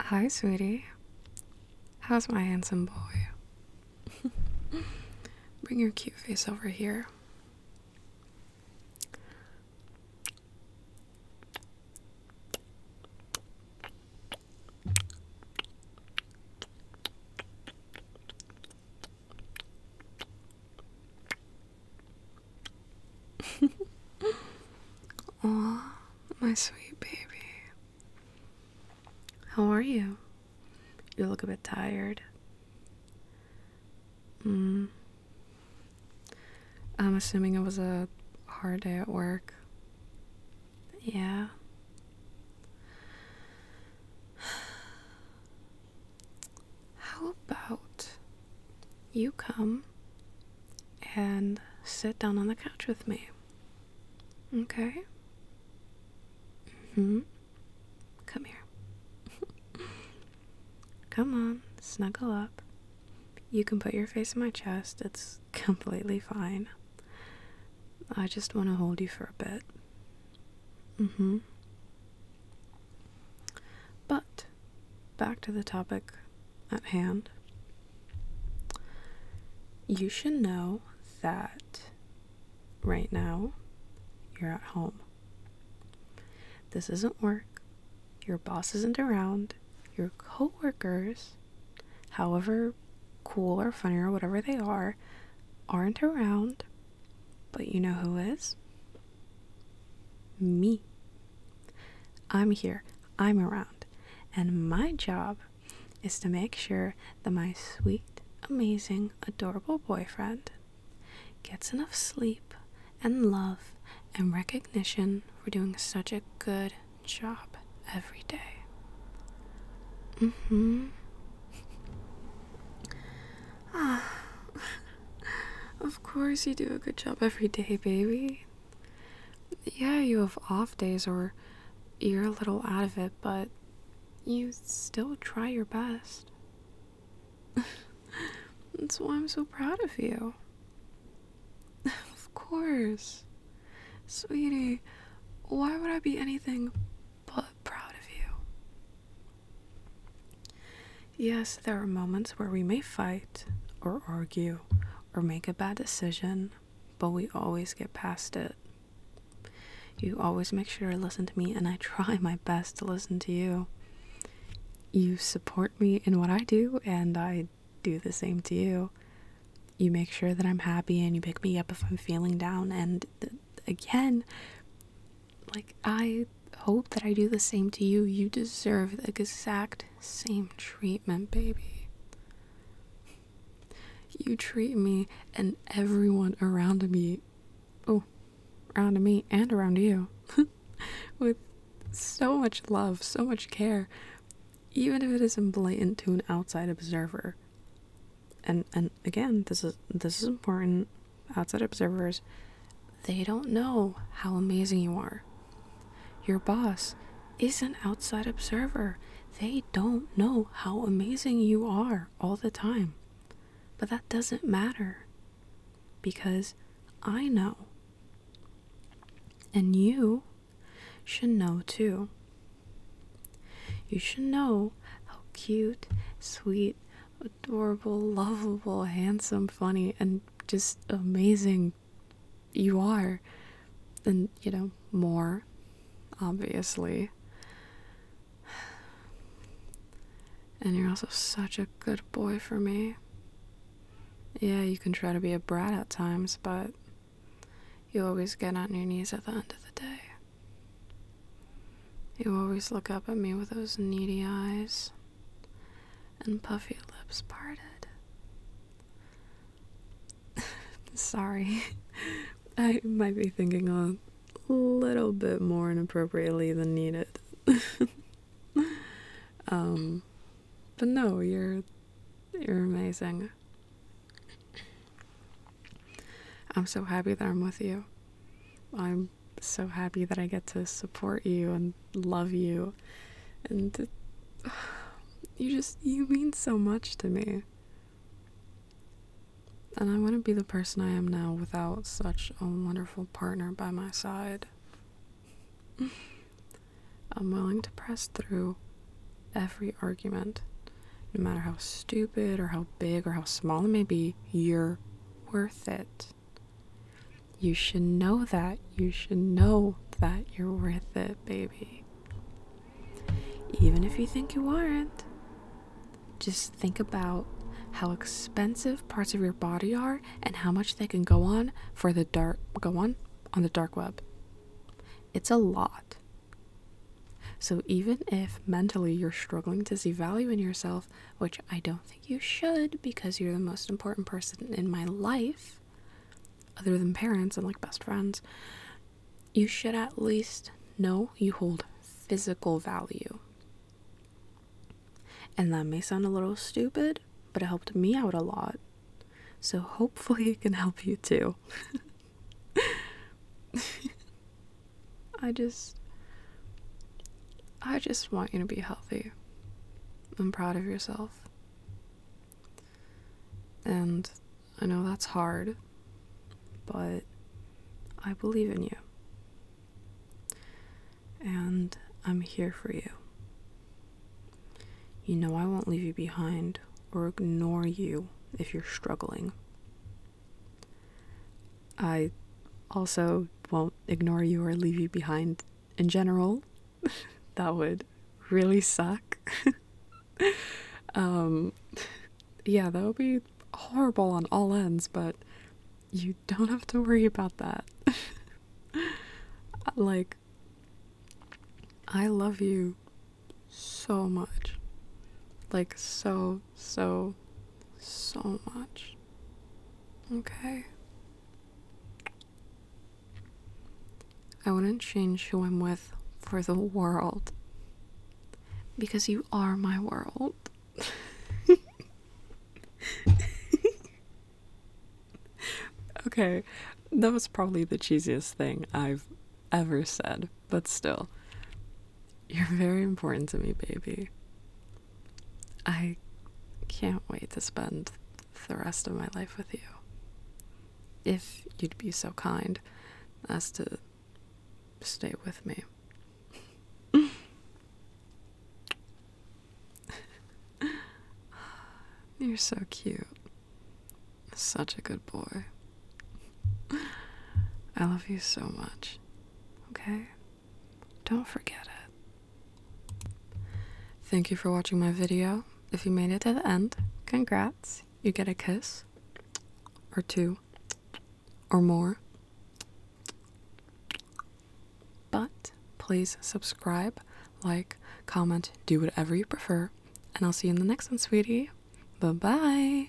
Hi, sweetie. How's my handsome boy? Bring your cute face over here. Aw, my sweet baby. How are you? You look a bit tired. Mm. I'm assuming it was a hard day at work. Yeah. How about you come and sit down on the couch with me. Okay? hmm. Come here. come on, snuggle up. You can put your face in my chest, it's completely fine. I just want to hold you for a bit. Mm hmm. But back to the topic at hand, you should know that right now you're at home. This isn't work. Your boss isn't around. Your coworkers, however cool or funny or whatever they are, aren't around. But you know who is? Me. I'm here, I'm around, and my job is to make sure that my sweet, amazing, adorable boyfriend gets enough sleep and love and recognition for doing such a good job every day. Mm hmm. Ah, of course you do a good job every day, baby. Yeah, you have off days or you're a little out of it, but you still try your best. That's why I'm so proud of you. of course. Sweetie, why would I be anything but proud of you? Yes, there are moments where we may fight or argue or make a bad decision, but we always get past it. You always make sure to listen to me, and I try my best to listen to you. You support me in what I do, and I do the same to you. You make sure that I'm happy, and you pick me up if I'm feeling down. And again, like, I hope that I do the same to you. You deserve the exact same treatment, baby. You treat me and everyone around me, oh, around me and around you, with so much love, so much care, even if it isn't blatant to an outside observer. And and again, this is this is important. Outside observers, they don't know how amazing you are. Your boss is an outside observer. They don't know how amazing you are all the time. But that doesn't matter because I know. And you should know too. You should know how cute, sweet, adorable, lovable, handsome, funny, and just amazing you are and you know more obviously and you're also such a good boy for me yeah you can try to be a brat at times but you always get on your knees at the end of the day you always look up at me with those needy eyes and puffy lips parted. Sorry, I might be thinking a little bit more inappropriately than needed. um, but no, you're you're amazing. I'm so happy that I'm with you. I'm so happy that I get to support you and love you. And you just, you mean so much to me. And I wouldn't be the person I am now without such a wonderful partner by my side. I'm willing to press through every argument, no matter how stupid or how big or how small it may be, you're worth it. You should know that. You should know that you're worth it, baby. Even if you think you aren't, just think about how expensive parts of your body are and how much they can go on for the dark go on on the dark web. It's a lot. So even if mentally you're struggling to see value in yourself, which I don't you should because you're the most important person in my life, other than parents and like best friends, you should at least know you hold physical value. And that may sound a little stupid, but it helped me out a lot. So hopefully it can help you too. I just I just want you to be healthy and proud of yourself. And I know that's hard, but I believe in you. And I'm here for you. You know, I won't leave you behind or ignore you if you're struggling. I also won't ignore you or leave you behind in general. that would really suck. um, yeah, that would be horrible on all ends, but you don't have to worry about that. like, I love you so much. Like, so, so, so much. Okay. I wouldn't change who I'm with for the world. Because you are my world. okay, that was probably the cheesiest thing I've ever said, but still. You're very important to me, baby. I can't wait to spend the rest of my life with you. If you'd be so kind as to stay with me. You're so cute. Such a good boy. I love you so much. Okay? Don't forget it. Thank you for watching my video. If you made it to the end, congrats. You get a kiss, or two, or more. But please subscribe, like, comment, do whatever you prefer, and I'll see you in the next one, sweetie. Bye bye.